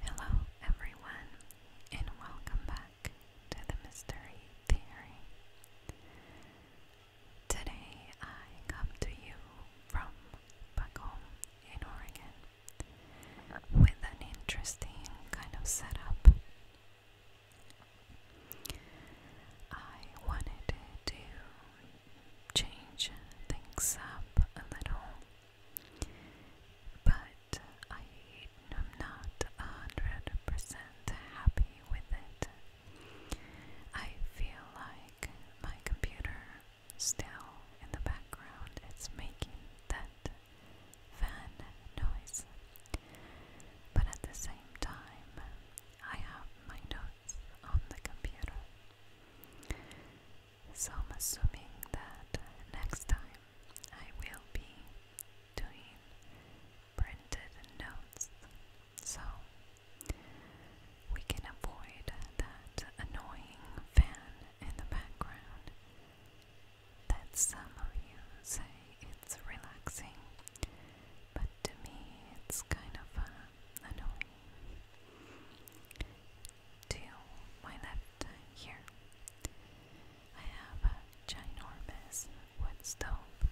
Hello, everyone, and welcome back to the Mystery Theory. Today I come to you from back home in Oregon with an interesting kind of setup. I wanted to change things up a little. But I, am not hundred happy with it. I feel like my computer still in the background is making that fan noise. But at the same time, I have my notes on the computer. So I'm assuming that next time I will be doing printed notes so we can avoid that annoying fan in the background that some of you say it's relaxing but to me it's kind of uh, annoying. To my left uh, here, I have a ginormous wood stove,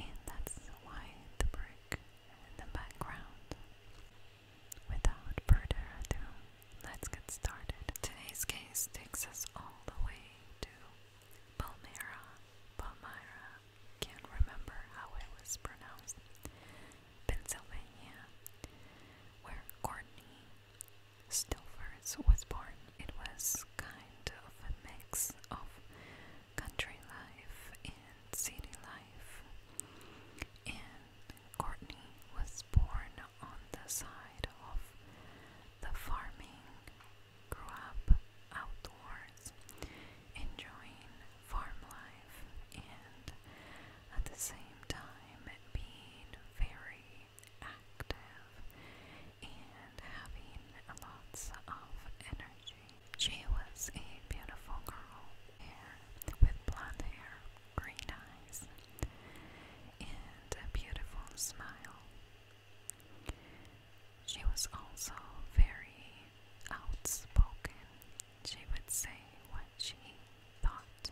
and that's why the brick in the background. Without further ado, let's get started. Today's case takes us all the way to Palmyra, Palmyra, can't remember how it was pronounced, Pennsylvania, where Courtney Stilfers was born. It was kind of a mix of country life and city life, and Courtney was born on the side of the farming, grew up outdoors, enjoying farm life and at the same time being very active and having lots of energy. She was a beautiful girl with blonde hair, green eyes, and a beautiful smile. She was also very outspoken. She would say what she thought.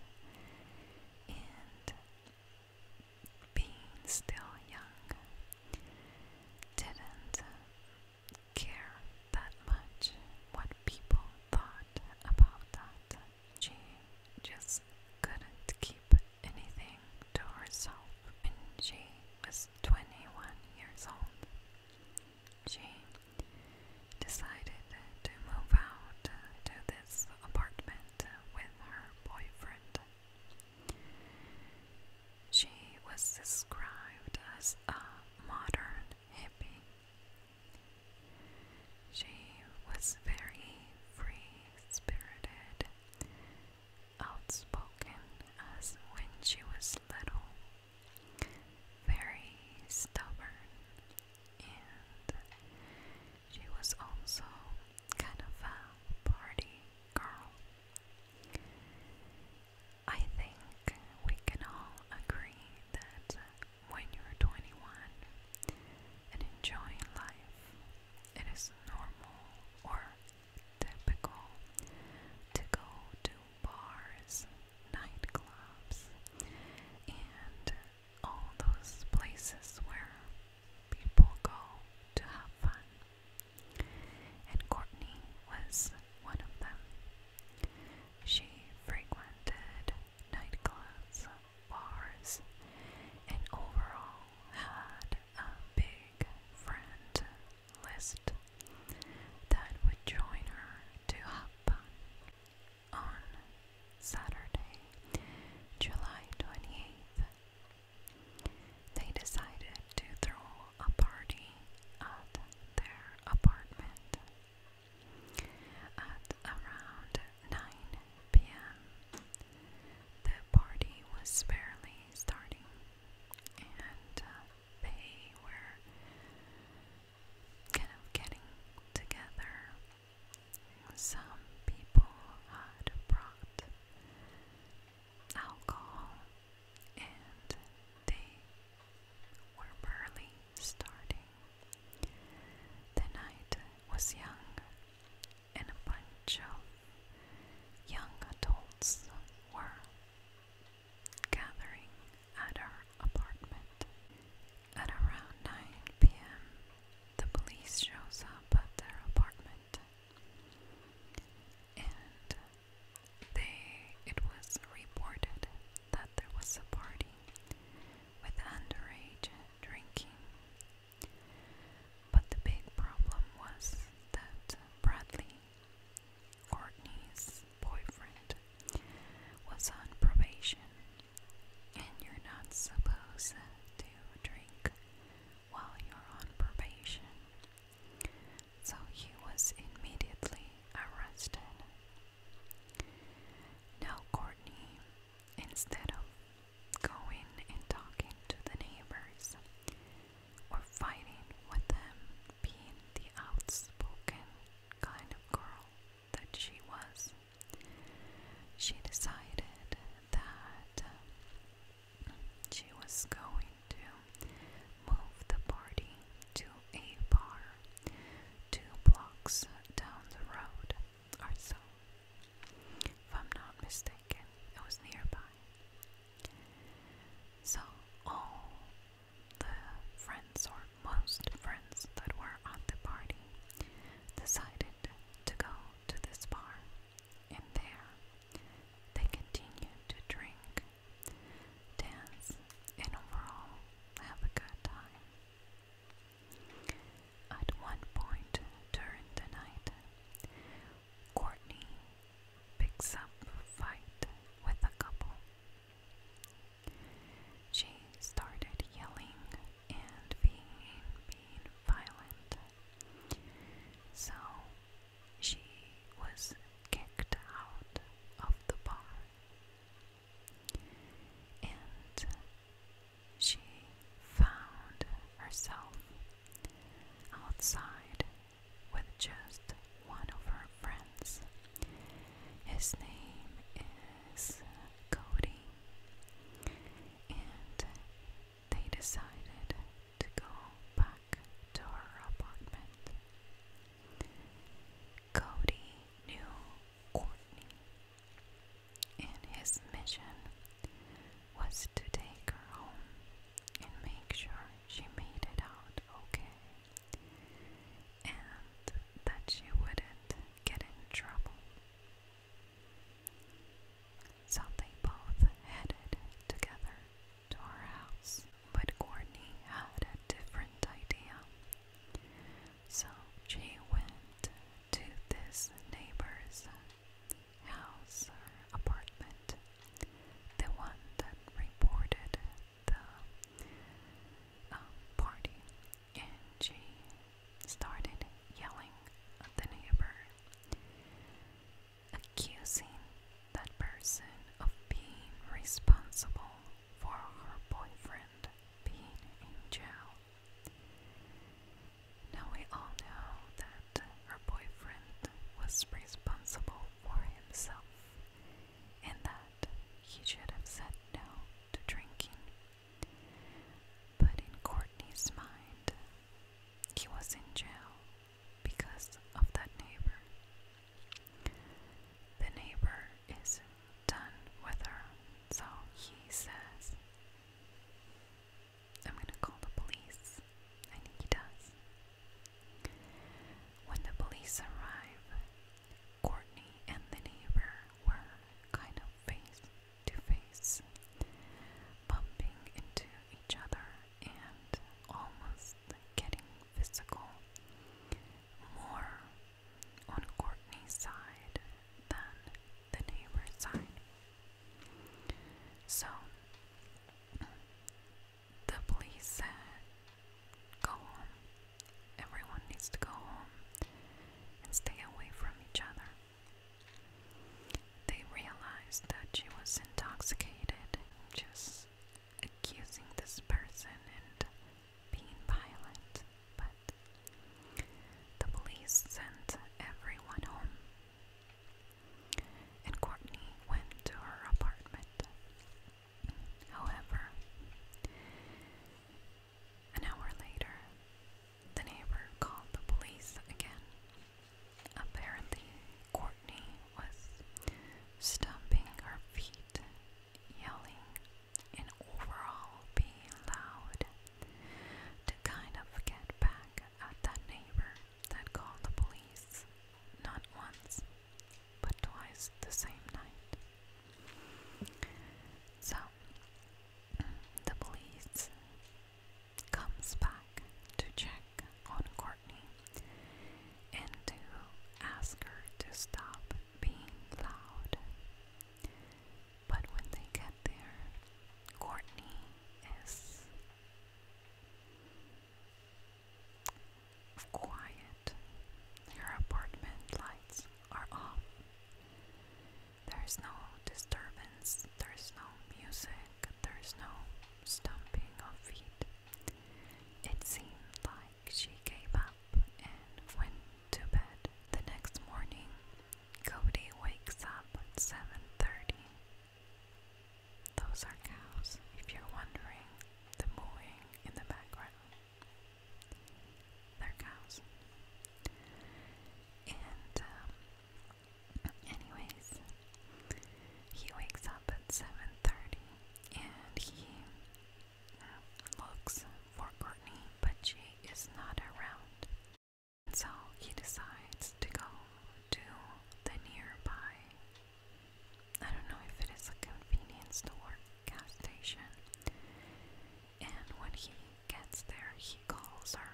And being still young, didn't care that much what people thought about that. She just couldn't keep anything to herself, and she was 21 years old she decided to move out uh, to this apartment uh, with her boyfriend. She was described as a modern hippie. She was very free spirited, outspoken as when she was little, very stubborn, and she was also kind of a party girl. I think we can all agree that when you're 21 and enjoying life, it is normal or typical to go to bars, nightclubs, and all those places where people go to have fun. And Courtney was one of them. She frequented nightclubs, bars, and overall had a big friend list that would join her to Hapa on Saturday, July 28th. They decided to throw a party at their apartment at around 9 p.m. The party was barely starting, and uh, they were kind of getting together. Some people had brought alcohol and they were barely starting. The night was young, and a bunch of young adults were gathering at our apartment. At around 9 p.m., the police shows up at their apartment, and they it was reported that there was a party with underage drinking. But the big problem was that Bradley Courtney's boyfriend, was on probation, and you're not supposed to drink while you're on probation. So he was immediately arrested. Now, Courtney, instead of going and talking to the neighbors or fighting with them, being the outspoken kind of girl that she was. She decided that um, she was going to move the party to a bar two blocks down the road or so. If I'm not mistaken, it was nearby. So all the friends or most friends that were at the party decided to go to this bar, and there they continued to drink, dance, and overall have a good time. At one point during the night, Courtney picks up a fight with a couple she started yelling and being, violent. So she was kicked out of the bar. And she found herself outside with just one of her friends. His name is Cody, and they decided to go back to her apartment. Cody knew Courtney, and his mission was to take her home and make sure she made it out okay and that she wouldn't get in trouble. So they both headed together to our house, but Courtney had a different idea. So she went to this neighbor's house or apartment, the one that reported the um, party, and she started yelling at the neighbor, accusing that person of being responsible for her boyfriend being in jail. Now we all know that her boyfriend was responsible for himself in that he should have said no to drinking. But in Courtney's mind, he was in jail because of that neighbor. The neighbor is done with her, so he says, I'm gonna call the police, I think he does. When the police arrive, Courtney and the neighbor were kind of face to face, bumping into each other and almost getting physical. More on Courtney's side than the neighbor's side. So the police said Go home. Everyone needs to go home and stay away from each other. They realized that she was intoxicated, just accusing this person and being violent, but the police sent everyone home. And Courtney went to her apartment. However, an hour later, the neighbor called the police again. Apparently, Courtney was stomping her feet, yelling, and overall being loud to kind of get back at that neighbor that called the police not once, but twice the same night. So the police comes back to check on Courtney and to ask her to stop being loud. But when they get there, Courtney is quiet. Your apartment lights are off. There is no disturbance, there is no music, there is no stomping of feet. It seemed like she gave up and went to bed. The next morning, Cody wakes up at 7:30. Those are cows, if you're wondering, the mooing in the background. They're And, um, anyways, he wakes up at 7.30 and he uh, looks for Courtney, but she is not around. so he decides to go to the nearby I don't know if it is a convenience store, gas station. And when he gets there, he calls her,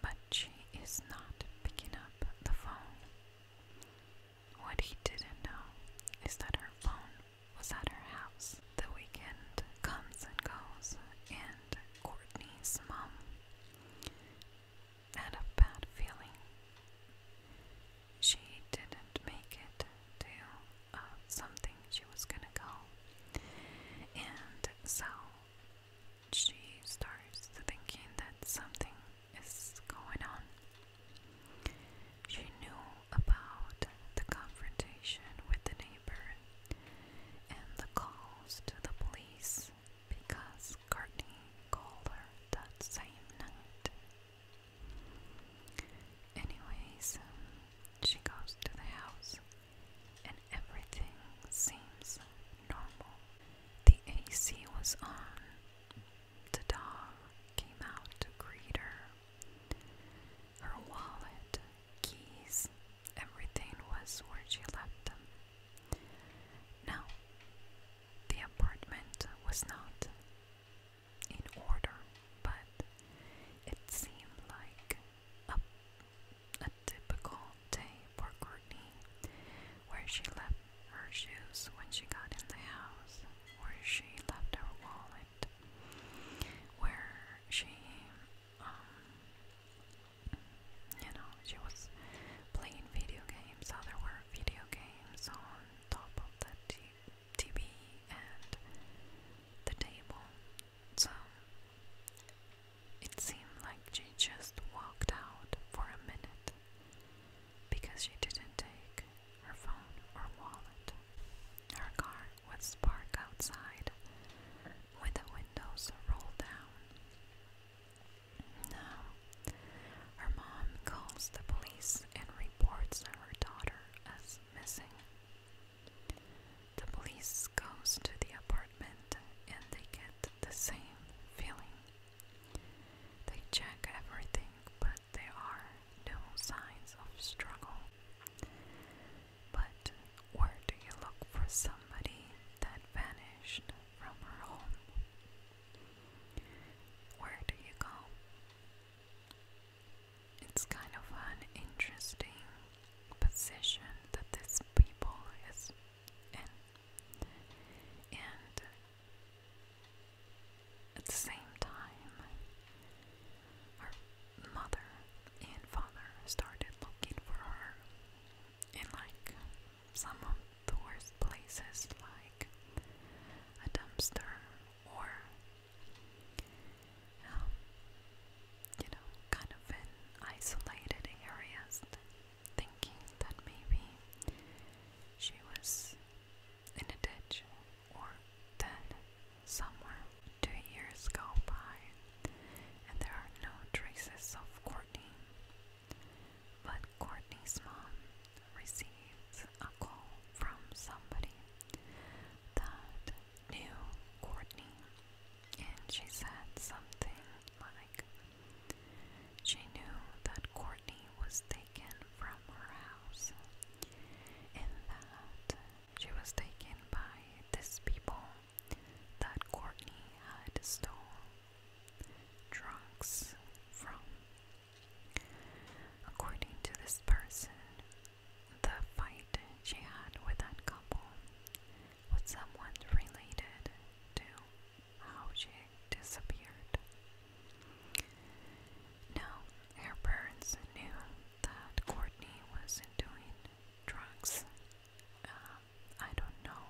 but she is not picking up the phone. What he didn't know is that her phone was at her house. The weekend comes and goes, and Courtney's mom had a bad feeling. She didn't make it to um, something she was gonna go. And so she starts thinking that something is going on. She knew about the confrontation with the neighbor and the calls to the police because Courtney called her that same night Anyways, um, she goes to the house and everything seems normal. The AC was on. The dog came out to greet her. Her wallet, keys, everything was where she left them. Now, the apartment was not in order, but it seemed like a, a typical day for Courtney, where she left her shoes when she got in the house, where she left her wallet, where she, um, you know, she was playing video games, so there were video games on top of the t TV and the table. So it seemed like she just walked out for a minute because she didn't take her phone or wallet. Her car was parked outside with the windows rolled down. Now, her mom calls the police and reports her daughter as the police goes to the apartment and they get the same feeling. They check everything, but there are no signs of struggle. But where do you look for somebody that vanished from her home? Where do you go? It's kind of an interesting position that this people is and at the same time, her mother and father started looking for her in like some of the worst places, like a dumpster or um, you know, kind of in isolated areas, thinking that maybe she was in a ditch or dead somewhere. Two years go by, and there are no traces of Courtney. But Courtney's mom receives a call from somebody that knew Courtney, and she said something like, she knew that Courtney was taken from her house and that she was taken by these people that Courtney had stole drugs from. According to this person, the fight she had with that couple was somewhat related to how she disappeared. Now, her parents knew that Courtney was doing drugs. Uh, I don't know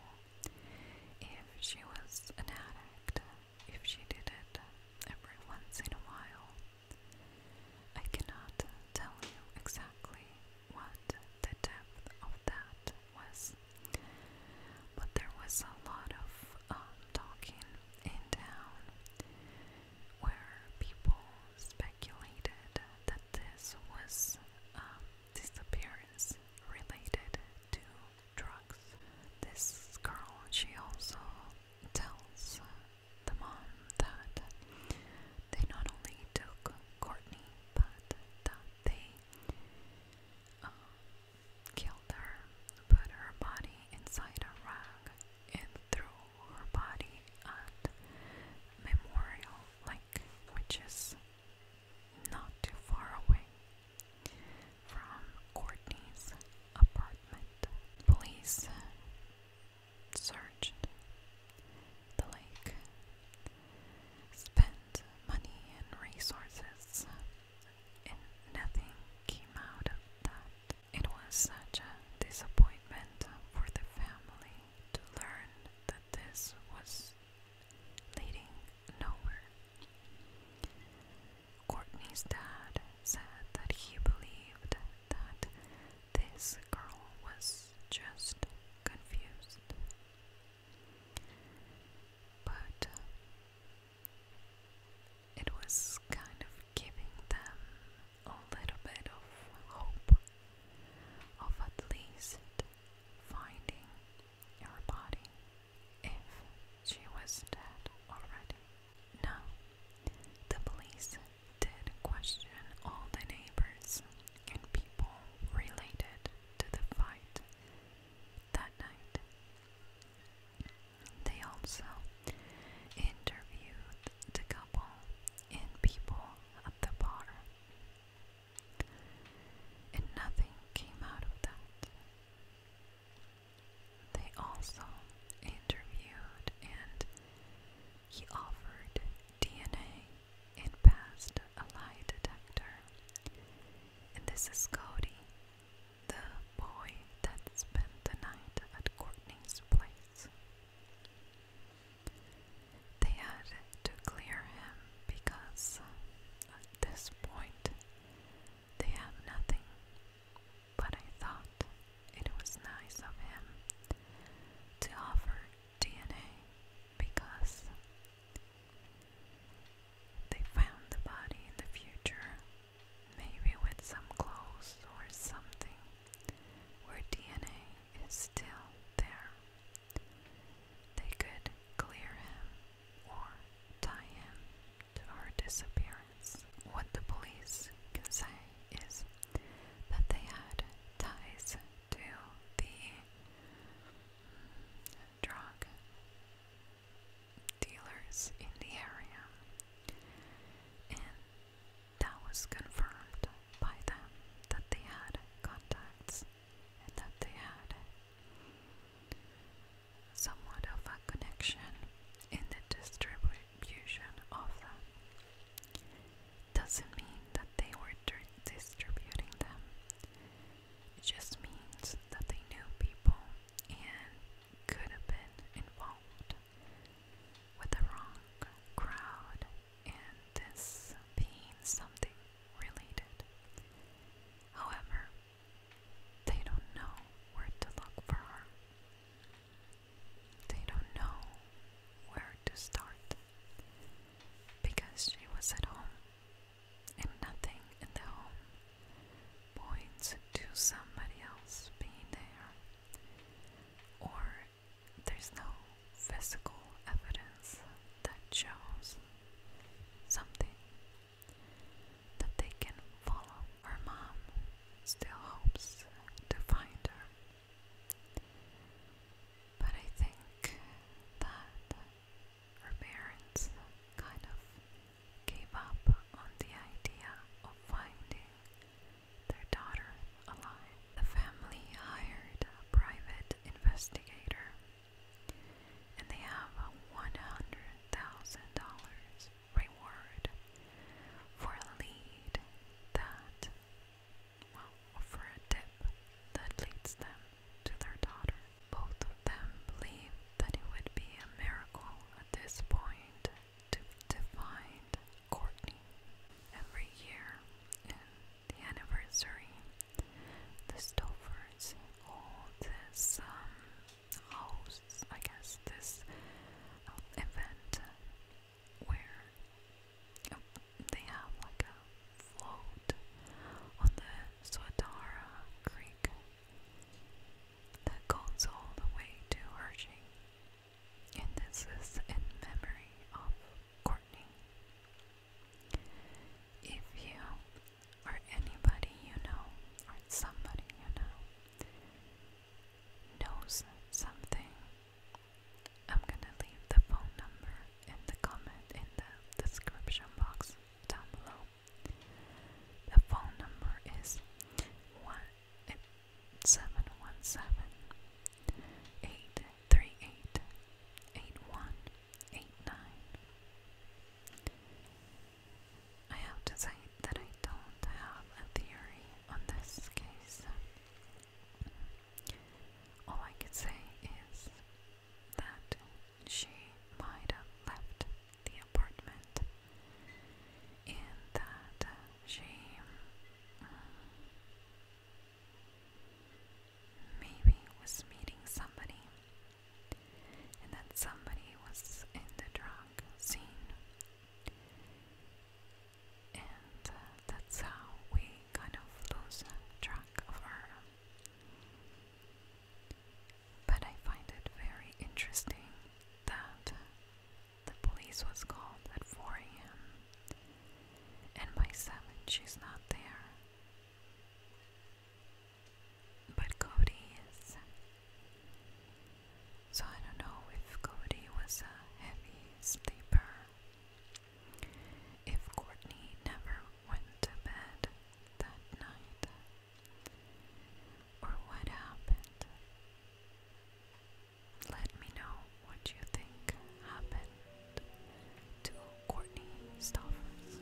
if she was an addict, if she did it every once in a while. I cannot tell you exactly what the depth of that was, but there was a lot of um, talking in town where people speculated that this was a um, disappearance related to drugs. This girl, she also tells uh, the mom that they not only took Courtney, but that they uh, killed her, put her body inside a rag, and threw her body at Memorial Lake, which is not too far away from Courtney's apartment. Police searched the lake, spent money and resources, and nothing came out of that. It was such a disappointment for the family to learn that this was leading nowhere. Courtney's dad said that he believed that this girl was just confused. But uh, it was kind of giving them a little bit of hope of at least finding her body if she was dead already. Now, the police did question all the neighbors and people related to the fight that night. They also interviewed the couple and people at the bar. And nothing came out of that. They also interviewed and he offered DNA and passed a lie detector. And this is Cody, the boy that spent the night at Courtney's place. They had to clear him because at this point they have nothing but I thought it was nice of him to offer DNA because they found the body in the future, maybe with some clothes or something, where DNA is still there. They could clear him or tie him to her disappearance. What the police can say is that they had ties to the mm, drug dealers in the area, and that was confirmed by them that they had contacts and that they had somewhat of a connection in the distribu distribution of them doesn't mean that they were distributing them. It just means that they knew people and could have been involved with the wrong crowd, and this being something related. However, they don't know where to look for her. They don't know where to start because she was at home and nothing in the home points to somebody else being there, or there's no physical evidence that shows something that they can follow. Her mom still hopes to find her. But I think that her parents kind of gave up on the idea of finding their daughter alive. The family hired a private investigator and they have a $100,000 reward for a lead that well, offer a dip that leads them to their daughter. Both of them believe that it would be a miracle at this point to, find Courtney. Every year in the anniversary, the Stofers hold this um, house, I guess, this um, event where they have like a float on the Swadara Creek that goes all the way to Hershey. And this is in memory of Courtney. If you or anybody you know or somebody you know knows something I'm gonna leave the phone number in the comment in the description box down below. The phone number is one eh, seven one seven eight three eight eight one eight nine. I have to say that I don't have a theory on this case. All I could say is that she might have left the apartment and that uh, she mm, maybe was meeting somebody and that somebody was in the drug scene and uh, that's how we kind of lose track of her. Um, but I find it very interesting that the police was called at 4 a.m. and by 7 she's not there. But Cody is. So I don't know if Cody was a heavy sleeper if Courtney never went to bed that night, or what happened? Let me know what you think happened to Courtney Stoffers.